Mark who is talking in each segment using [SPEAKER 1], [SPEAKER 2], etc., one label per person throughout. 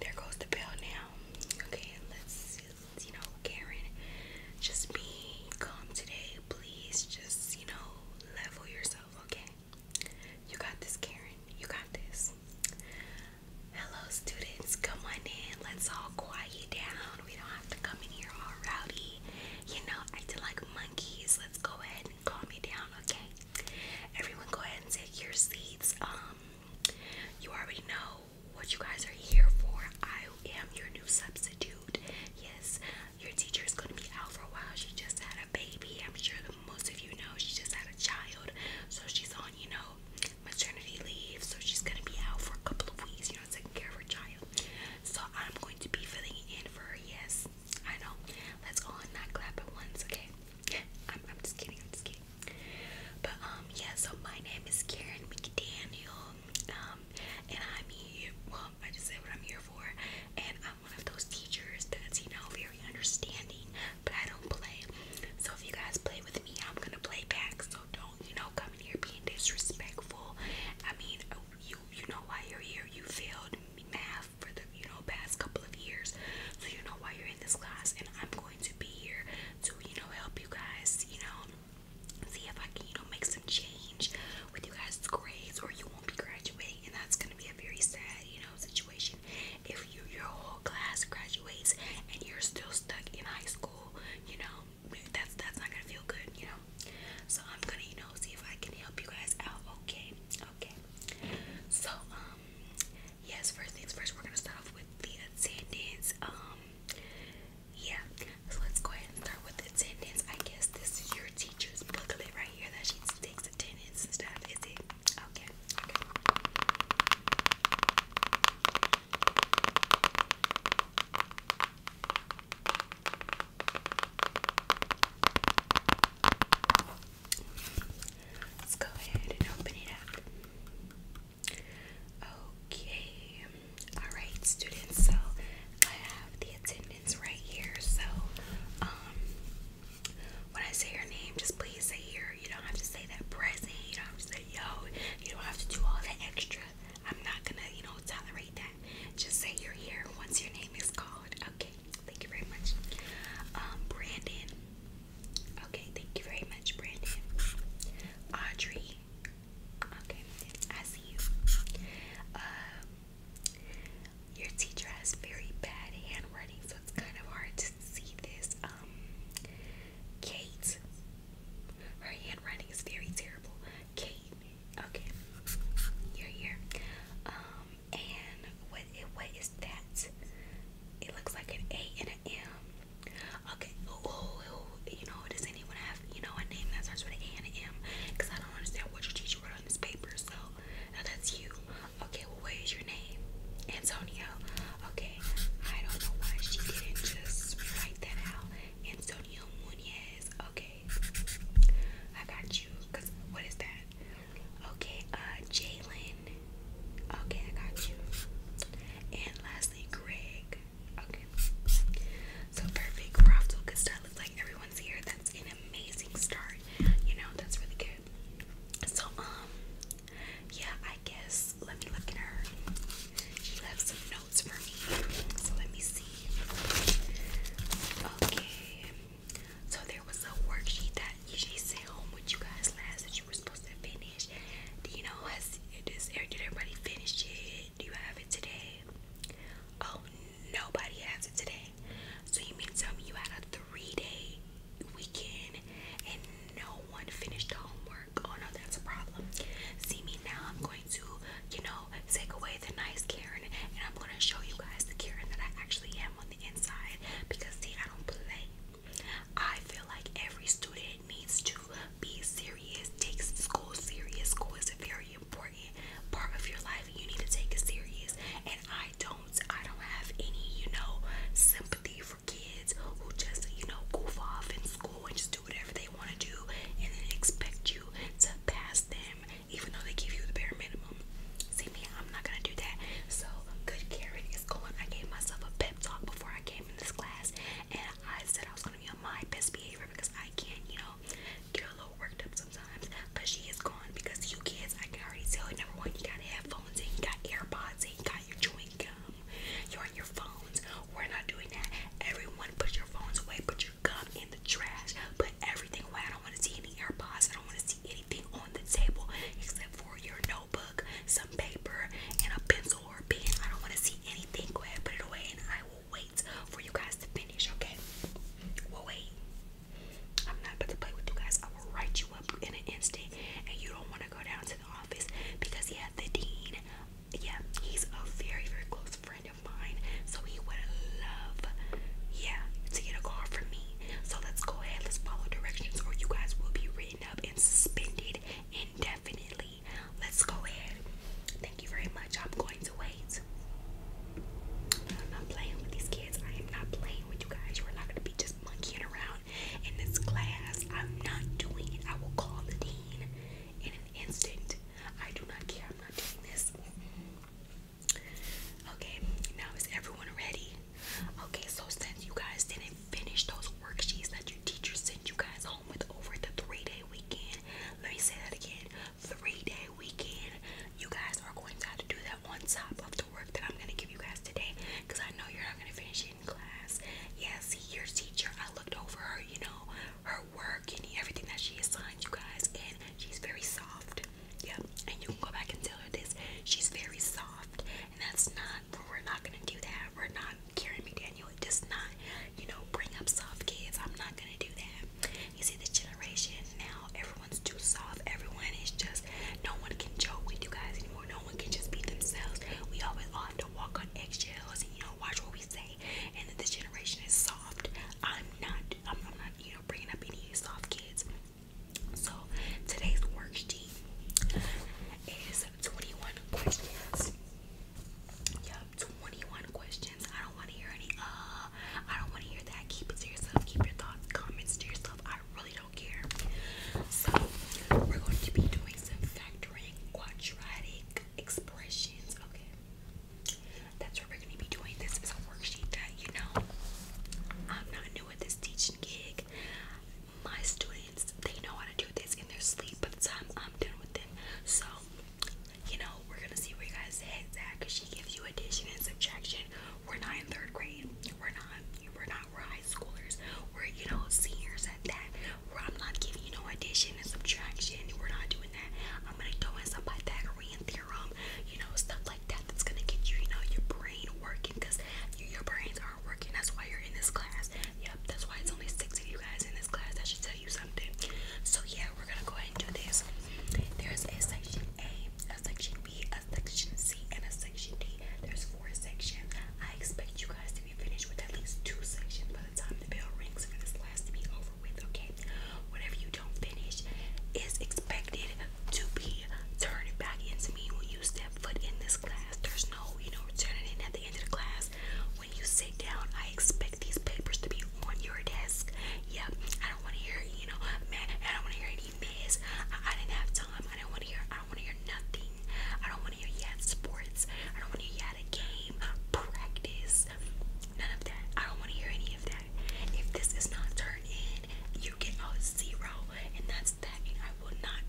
[SPEAKER 1] There goes the bell now. Okay, let's, you know, Karen, just be calm today. Please just, you know, level yourself, okay? You got this, Karen. You got this. Hello, students. Come on in. Let's all quiet down. We don't have to come in here all rowdy, you know, acting like monkeys. Let's go ahead and calm you down, okay? Everyone, go ahead and take your seats. Um, you already know what you guys are here for. I am your new substitute. Yes, your teacher is going to be out for a while. She just had a baby. I'm sure that most of you know she just had a child. So she's on, you know, maternity leave. So she's going to be out for a couple of weeks, you know, taking care of her child. So I'm going to be filling in for her. Yes, I know. Let's all not clap at once, okay? I'm just kidding. I'm just kidding. But um yeah, so my name is Karen McDaniel. Um and I'm here well, I just say what I'm here for and I'm one of those teachers that's, you know, very understanding, but I don't play. So if you guys play with me, I'm gonna play back. So don't, you know, come here being disrespectful. I mean, uh, you you know why you're here. You failed math for the you know past couple of years, so you know why you're in this class. And I'm going to be here to, you know, help you guys, you know, see if I can, you know, make some change with you guys' grades or you won't be graduating. And that's going to be a very sad, you know, situation. If you, your whole class graduates and you're still stuck in high school, you know, that's, that's not going to feel good, you know. So I'm going to, you know, see if I can help you guys out. Okay. Okay. So, um, yes, first things first, we're gonna start off with the attendance. Um, yeah, so let's go ahead and start with attendance. I guess this is your teacher's booklet right here that she takes attendance and stuff. Is it okay? Okay. Let's go ahead and open it up. Okay, alright, students. So I have the attendance right here. So, um, when I say your name, just please say here. You don't have to say that present, you don't have to say yo, you don't have to do all that extra. I'm not gonna, you know, tolerate that. Just say you're here once your name is called. Okay, thank you very much. Um, Brandon. Okay, thank you very much, Brandon. Audrey. Okay, I see you. Um, your teacher has very bad handwriting, so it's kind of hard to see this. Um, Kate. Her handwriting is very terrible. Kate. Okay, you're here. Um, and what, what is that? It looks like an A and an M. Okay, ooh, ooh, oh, ooh. you know, does anyone have, you know, a name that starts with an A and an M? Because I don't understand what your teacher wrote on this paper, so now that's you. Okay, well, where is your name? Antonio. Okay, I don't know why she didn't just write that out. Antonio Munez. Okay, I got you. Because what is that? Okay, uh, Jalen Okay, I got you. And lastly, Greg. Okay. So perfect. We're off Looks like everyone's here. That's an amazing start. You know, that's really good. So, um, yeah, I guess let me look at her. She left some notes for me. So let me see. Okay. So there was a worksheet that she sent home with you guys last that you supposed to finish. Do you know has did everybody finish it? Do you have it today? Oh nobody has it today. So you mean tell me you had a three-day weekend and no one finished homework? Oh no, that's a problem. See me now I'm going to, you know, take away the nice Karen and I'm gonna show you guys the Karen that I actually am on the inside because see I don't play. I feel like every student needs to be serious, take school serious. School is a very important part of your life. You need to take it serious. And I don't I don't have any, you know, sympathy for kids who just, you know, goof off in school and just do whatever they want to do and then expect you to pass them even though they give you the bare minimum. See me, I'm not gonna do that. So good Karen is going. I gave myself a pep talk before I came came in this class and I said I was gonna be on my best behavior because I can't, you know, get a little worked up sometimes. But she is gone because you kids, I can already tell. Number one, you got headphones and you got AirPods and you got your chewing gum. You're on your phones. We're not doing that. Everyone, put your phones away. Put your gum in the trash. Put everything away. I don't want to see any AirPods. I don't want to see anything on the table except for your notebook, some paper, and a pencil or pen. I don't want to see anything. Go ahead, put it away, and I will wait for you guys to finish, okay? We'll wait. I'm not about to play with you guys. I will write you up in an instant, and you don't want to go down to the office because, yeah, the dean, yeah, he's a very, very close friend of mine, so he would love, yeah, to get a call from me. So let's go ahead, let's follow directions, or you guys will be written up and suspended indefinitely. Let's go ahead. Thank you very much. I'm going to wait. I'm playing with these kids. I am not playing with you guys. You are not going to be just monkeying around in this class. I'm not doing it. I will call the dean in an instant. I do not care. I'm not doing this. Mm-hmm. Okay, now is everyone ready? Okay, so since you guys didn't finish those worksheets that your teacher sent you guys home with over the three day weekend. Let me say that again three day weekend. You guys are going to have to do that on top of the work that I'm going to give you guys today because I know you're not going to finish it in class. Yeah, see, your teacher, I looked over her, you know, her work and everything that she assigned you guys, and she's very soft. Yep, and you can go back and tell her this. She's very soft and that's not we're not gonna do that. We're not Karen McDaniel does not, you know, bring up soft kids. I'm not gonna do that. You see this generation now, everyone's too soft, everyone is just no one can joke with you guys anymore, no one can just be themselves. We always all have to walk on eggshells and you know watch what we say and this generation is soft. I'm not I'm not, you know, bringing up any soft kids. So today's worksheet is 21 questions. Yep, 21 questions. I don't want to hear any, uh, I don't want to hear that. Keep it to yourself. Keep your thoughts, comments to yourself. I really don't care. So, we're going to be doing some factoring quadratic expressions. Okay, that's what we're going to be doing. This is a worksheet that, you know, I'm not new at this teaching gig my students, they know how to do this in their sleep by the time I'm done with them. So, you know, we're gonna see where you guys' heads at because she gives you addition and subtraction. We're not in third grade. We're not. We're not. We're high schoolers. We're you know seniors at that. Where I'm not giving you no addition and subtraction. We're not doing that. I'm gonna throw in some Pythagorean theorem. You know stuff like that. That's gonna get you you know your brain working because you, your brains aren't working. That's why you're in this class. Yep, that's why it's only six of you guys in this class. That should tell you something. So yeah, we're gonna go ahead and do this. There's a section A, a section B, a section C, and a section D. There's four sections. I expect you guys to be finished with at least two sections by the time the bell rings for this class to be over with, okay? Whatever you don't finish is expected to be turned back into me when you step foot in this class. There's no, you know, turning in the end of the class, when you sit down, I expect these papers to be on your desk. Yep, I don't want to hear, you know, man, I don't want to hear any mess. I, I didn't have time. I don't want to hear, I don't want to hear nothing. I don't want to hear you had sports. I don't want to hear you had a game, practice, none of that. I don't want to hear any of that. If this is not turned in, you get a zero, and that's I will not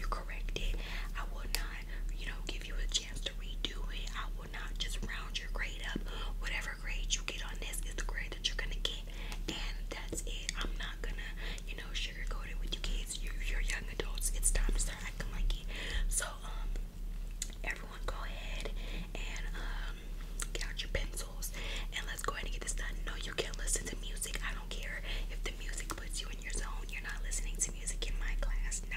[SPEAKER 1] you correct it. I will not, you know, give you a chance to redo it. I will not just round your grade up. Whatever grade you get on this is the grade that you're gonna get, and that's it. I'm not gonna, you know, sugarcoat it with you kids. You, you're young adults. It's time to start acting like it. So, um, everyone, go ahead and um, get out your pencils and let's go ahead and get this done. No, you can't listen to music. I don't care if the music puts you your zone. You're not listening to music in my class. No,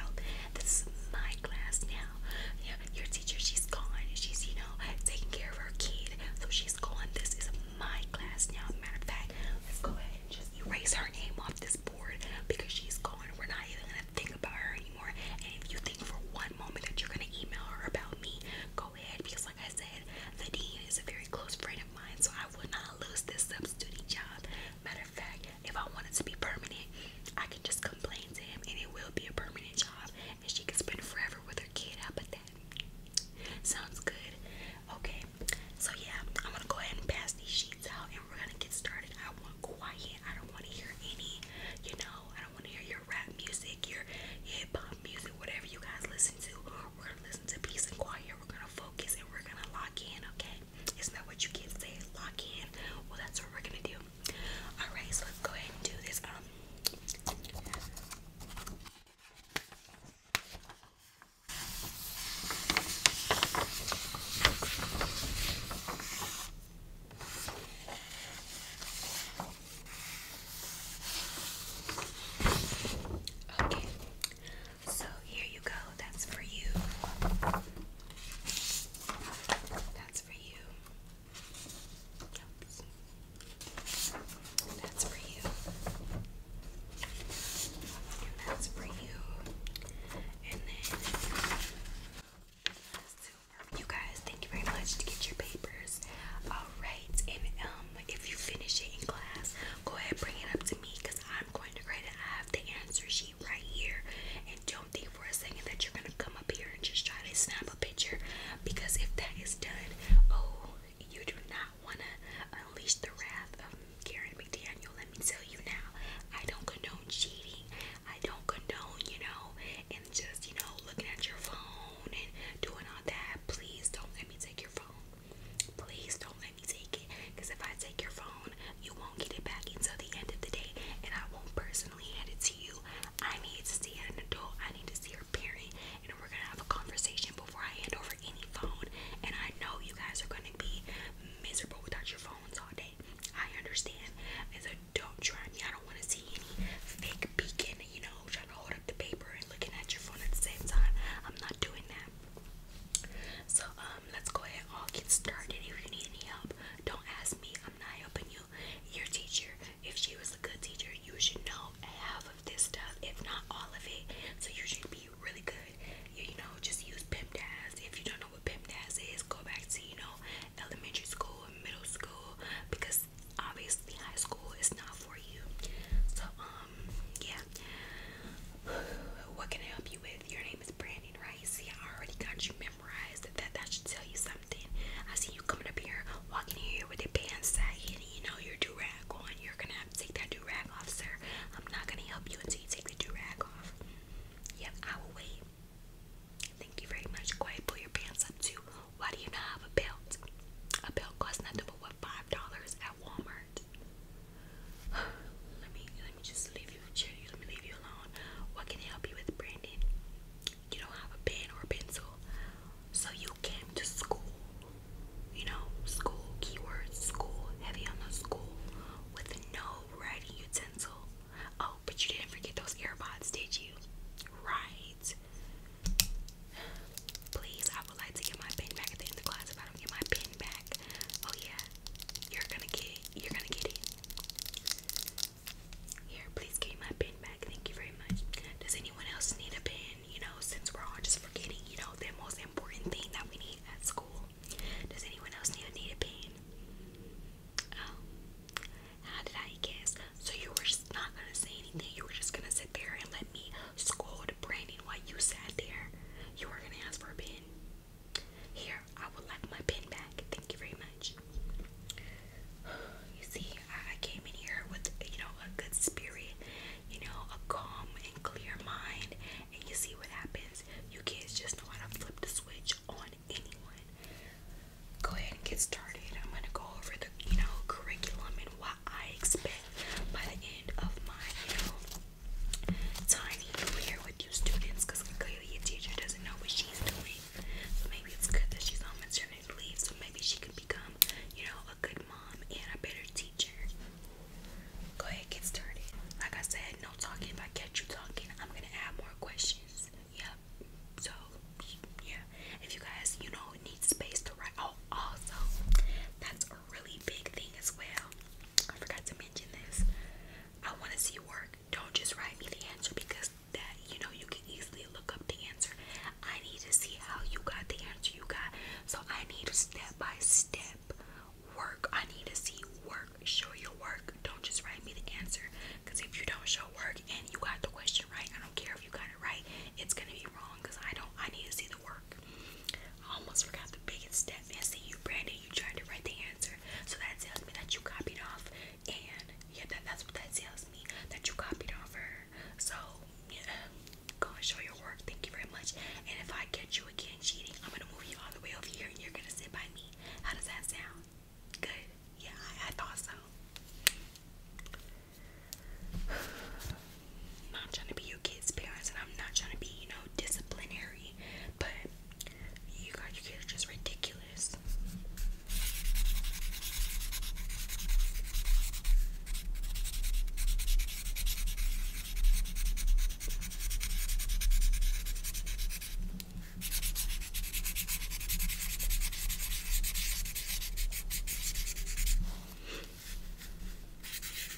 [SPEAKER 1] this is my class now. Yeah, your teacher, she's gone. She's, you know, taking care of her kid. So she's gone. This is my class now. Matter of fact, let's go ahead and just erase her name off this board because she's gone. We're not even gonna think about her anymore. And if you think for one moment that you're gonna email her about me, go ahead because like I said, the dean is a very close friend of mine, so I would not lose this substitute job. Matter of fact, if I want it to be permanent, I can just complain to him and it will be a permanent job and she can spend forever with her kid. How about that? Sounds good. Okay, so yeah, I'm gonna go ahead and pass these sheets out and we're gonna get started. I want quiet, I don't wanna hear any, you know, I don't wanna hear your rap music, your hip hop music, whatever you guys listen to. We're gonna listen to peace and quiet, we're gonna focus and we're gonna lock in, okay? Isn't that what you kids say? Lock in. Well, that's what we're gonna do. Alright, so let's go ahead and do this. Okay, um, so here you go. That's for you. That's for you. That's for you. that's for you. And then you guys, thank you very much to get your papers. Alright, and um if you finish it in class, go ahead bring it up to me because I'm going to grade it. I have the answer sheet right here. And don't think for a second that you're going to come up here and just try to snap a picture because if that is done, oh, you do not want to unleash the wrath of Karen McDaniel. Let me tell you now, I don't condone cheating. I don't condone, you know, and just, you know, looking at your phone and doing all that. Please don't let me take your phone. Please don't because if I take your phone, you won't get it back until the end of the day, and I won't personally hand it to you. I need to see an adult, I need to see your parent, and we're gonna have a conversation before I hand over any phone. And I know you guys are gonna be miserable without your phones all day. I understand. And so don't try me. I don't want to see any fake peeking, you know, trying to hold up the paper and looking at your phone at the same time. I'm not doing that. So, um, um, let's go ahead all get started. If you need any help, don't ask me. I'm not helping you. Your teacher, if she was a good teacher, you should know half of this stuff, if not all of it. So you should be really good. You, know, just use PEMDAS. If you don't know what PEMDAS is, go back to, you know, elementary school and middle school because obviously high school is not for you. So, um, yeah. What can I help you with? Your name is Brandon, right? See, I already got you memorized. That that should tell you something. I see you coming up here, walking here with your pants sagging, you know your do rag on. You're gonna have to take that do rag off, sir. I'm not gonna help you until you take the do rag off. Yep, I will wait. Thank you very much. Go ahead, pull your pants up too. Why do you not have a belt? A belt costs nothing but what five dollars Walmart. let me let me just leave you, Let me leave you alone. What can I help you with, Brandon? You don't have a pen or a pencil, so you came to school. You know, school keyword school heavy on the school with no writing utensil. Oh, but you didn't forget those earbuds, did you? Right. Please, I would like to get my pen back at the end of class if I don't get my pen back. Oh yeah, you're gonna get it. You're gonna get it. Here, please give me my pen back. Thank you very much. Does anyone else need a pen? You know, since we're all just forgetting, you know, the most important thing that we need at school. Does anyone else need a, pen? Oh, how did I guess? So you were just not gonna say anything. You were just gonna sit there and let me scold Brandon while you sat there. You were gonna ask for a pen. Here, I would like my pen back. Thank you very much. You see, I came in here with, you know, a good spirit, you know, a calm and clear mind. And you see what happens. You kids just know to flip the switch on anyone. Go ahead and get started. I'm going to go over the, you know, curriculum and what I expect by the end of my, you know, so I need to with you students because clearly your teacher doesn't know what she's doing. So maybe it's good that she's on maternity leave, so maybe she can become, you know, a good mom and a better teacher. Go ahead, get started. Like I said, no talking. If I catch you talking, I'm gonna add more questions. Yep. So yeah, if you guys, you know, need space to write. Oh, also, that's a really big thing as well. I forgot to mention this. I want to see work. Don't just write me the answer because that you know you can easily look up the answer. I need to see how you got the answer you got. So I need a step by step work. I need to see work. Show your work. Don't just write me the answer. Because if you don't show work and you got the question right, I don't care if you got it right, it's gonna be wrong because I don't I need to see the work. I almost forgot the biggest step, man. See, you, Brandon, you tried to write the answer. So that tells me that you copied off, and yeah, that, that's what that tells me that you copied off her. So, yeah, go and show your work. Thank you very much. And if I catch you again cheating, I'm gonna move you all the way over here, and you're gonna sit by me. How does that sound? Good. Yeah, I, I thought so. I'm not trying to be your kids' parents, and I'm not trying to be, you know, disciplinary but you guys, you kids just ridiculous.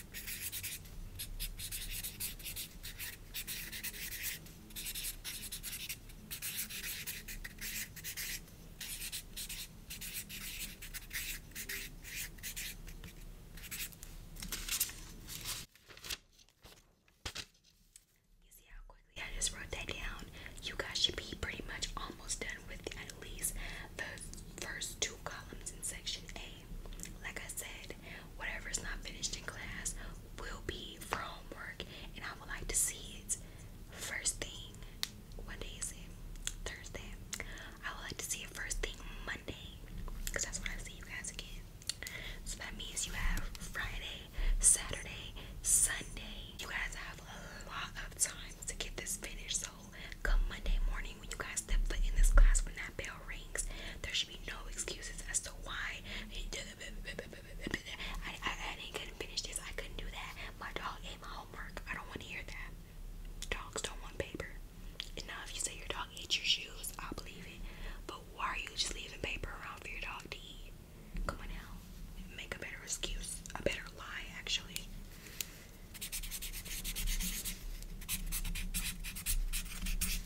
[SPEAKER 1] You see how quickly I just wrote that down? You guys should be pretty much almost done with at least the first two columns in section A. Like I said, said, whatever's not finished in class will be for homework, and I would like to see it first thing. What day is it? Thursday. I would like to see it first thing Monday, because that's when I see you guys again. So that means you have Friday, Saturday, Sunday. You guys have a lot of time to get this finished. So come Monday morning when you guys step foot in this class when that bell rings. There should be no excuses as to why I, I, I didn't couldn't finish this. I couldn't do that. My dog ate my homework. I don't want to hear that. Dogs don't want paper. now if you say your dog ate your shoes, I'll believe it. But why are you just leaving paper around for your dog to eat? Come on now. Make a better excuse. A better lie, actually.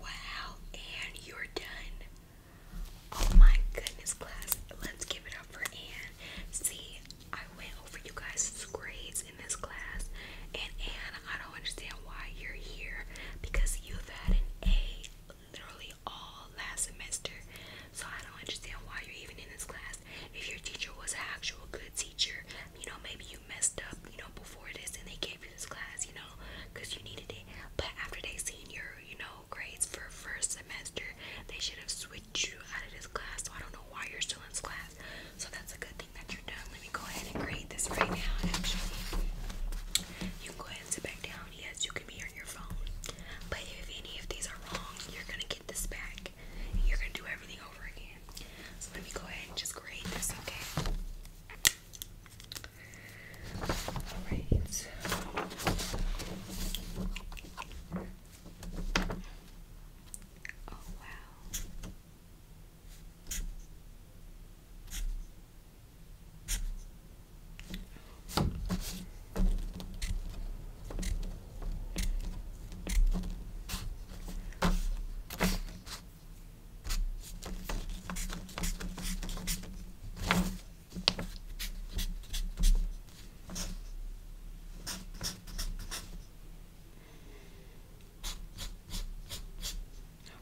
[SPEAKER 1] Wow, and you're done. Oh my goodness, class. Let's give it up for Anne. See, I went over you guys' grades in this class, and Anne, I don't understand why you're here because you've had an A literally all last semester. So I don't understand why you're even in this class class. If your teacher was an actual good teacher, you know, maybe you messed up, you know, before this and they gave you this class, you know, because you needed it. But after they seen your, you know, grades for first semester, they should have switched you out of this class. So I don't know why you're still in this class. So that's a good thing that you're done. Let me go ahead and grade this right now, actually. You can go ahead and sit back down. Yes, you can be on your phone. But if any of these are wrong, you're gonna get this back you're gonna do everything over again. So let me go ahead and just grade this, okay? Alright. Oh wow.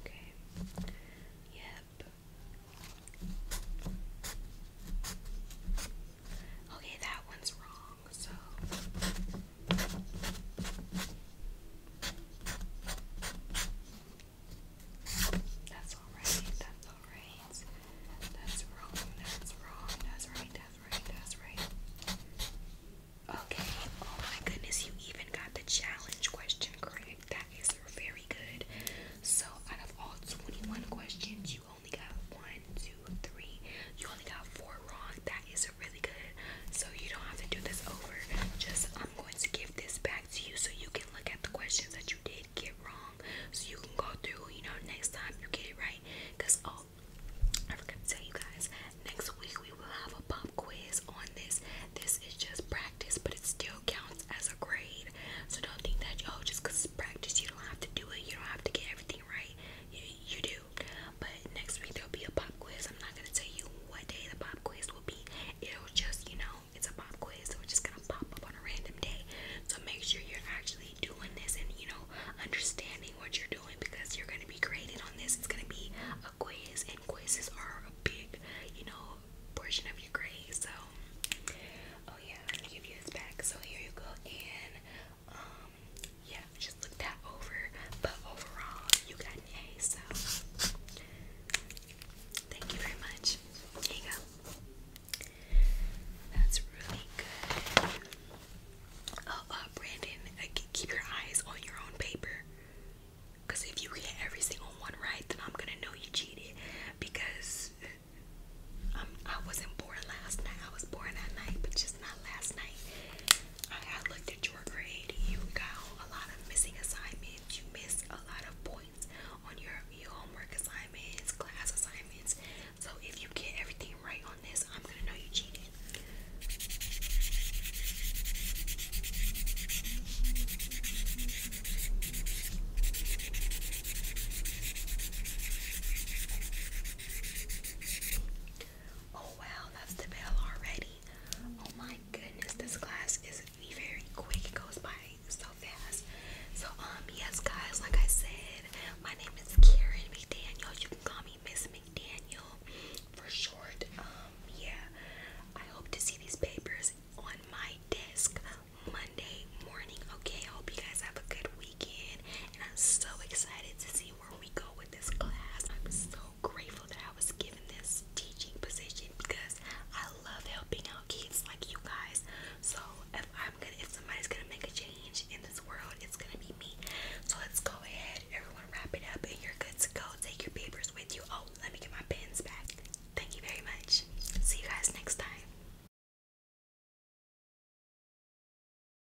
[SPEAKER 1] Okay. Yep. Okay, that one's wrong so that's all right, that's all right, that's wrong, that's wrong, that's right, that's right, that's right. Okay, oh my goodness, you even got the challenge question correct. That is very good. So, out of all 21 questions, you you only got one, two, three. You only got four wrong. That is really good. So you don't have to do this over. Just I'm going to give this back to you so you can look at the questions that you did get wrong. So you can go through, you know, next time you get it right. Cause oh I forgot to tell you guys, next week we will have a pop quiz on this. This is just practice, but it still counts as a grade. So don't think that, oh, just because it's practice, you don't have to do it. You don't have to get everything right. You, you do. But next week there'll be a pop quiz. I'm not gonna tell you what day the pop quiz will be. It'll just, you know, it's a pop quiz, so it's just gonna pop up on a random day. So make sure you're actually doing this and you know understanding what you're doing because you're gonna be graded on this. It's gonna be a quiz, and quizzes are a big, you know, portion of your grade. So, oh yeah, give you this back. So here you go, and um, yeah, just look that over. But overall, you got an A, so thank you very much. There you go. That's really good. Oh, uh, Brandon, uh, keep your eyes on your own paper. Because if you get every single one right, then I'm going to know you cheated. Because um, I wasn't born last night. I was born that night, but just not last night. I, I looked at your grade. You got a lot of missing assignments. You missed a lot of points on your, your homework assignments, class assignments. So if you get everything right on this, I'm gonna know you cheated. Oh wow, that's the bell already. Oh my goodness, this class is very quick. It goes by so fast. So um yes guys, like I said, my name is Karen McDaniel. You can call me Miss McDaniel for short. Um yeah. I hope to see these papers on my desk Monday morning. Okay, hope you guys have a good weekend and I'm so excited to see where we go with this class. I'm so grateful that I was given this teaching position because I love helping out kids like you guys. So if I'm gonna, if somebody's gonna make a change in this world, it's gonna be me. So let's go ahead, everyone, wrap it up, and you're good to go. Take your papers with you. Oh, let me get my pens back. Thank you very much. See you guys next time.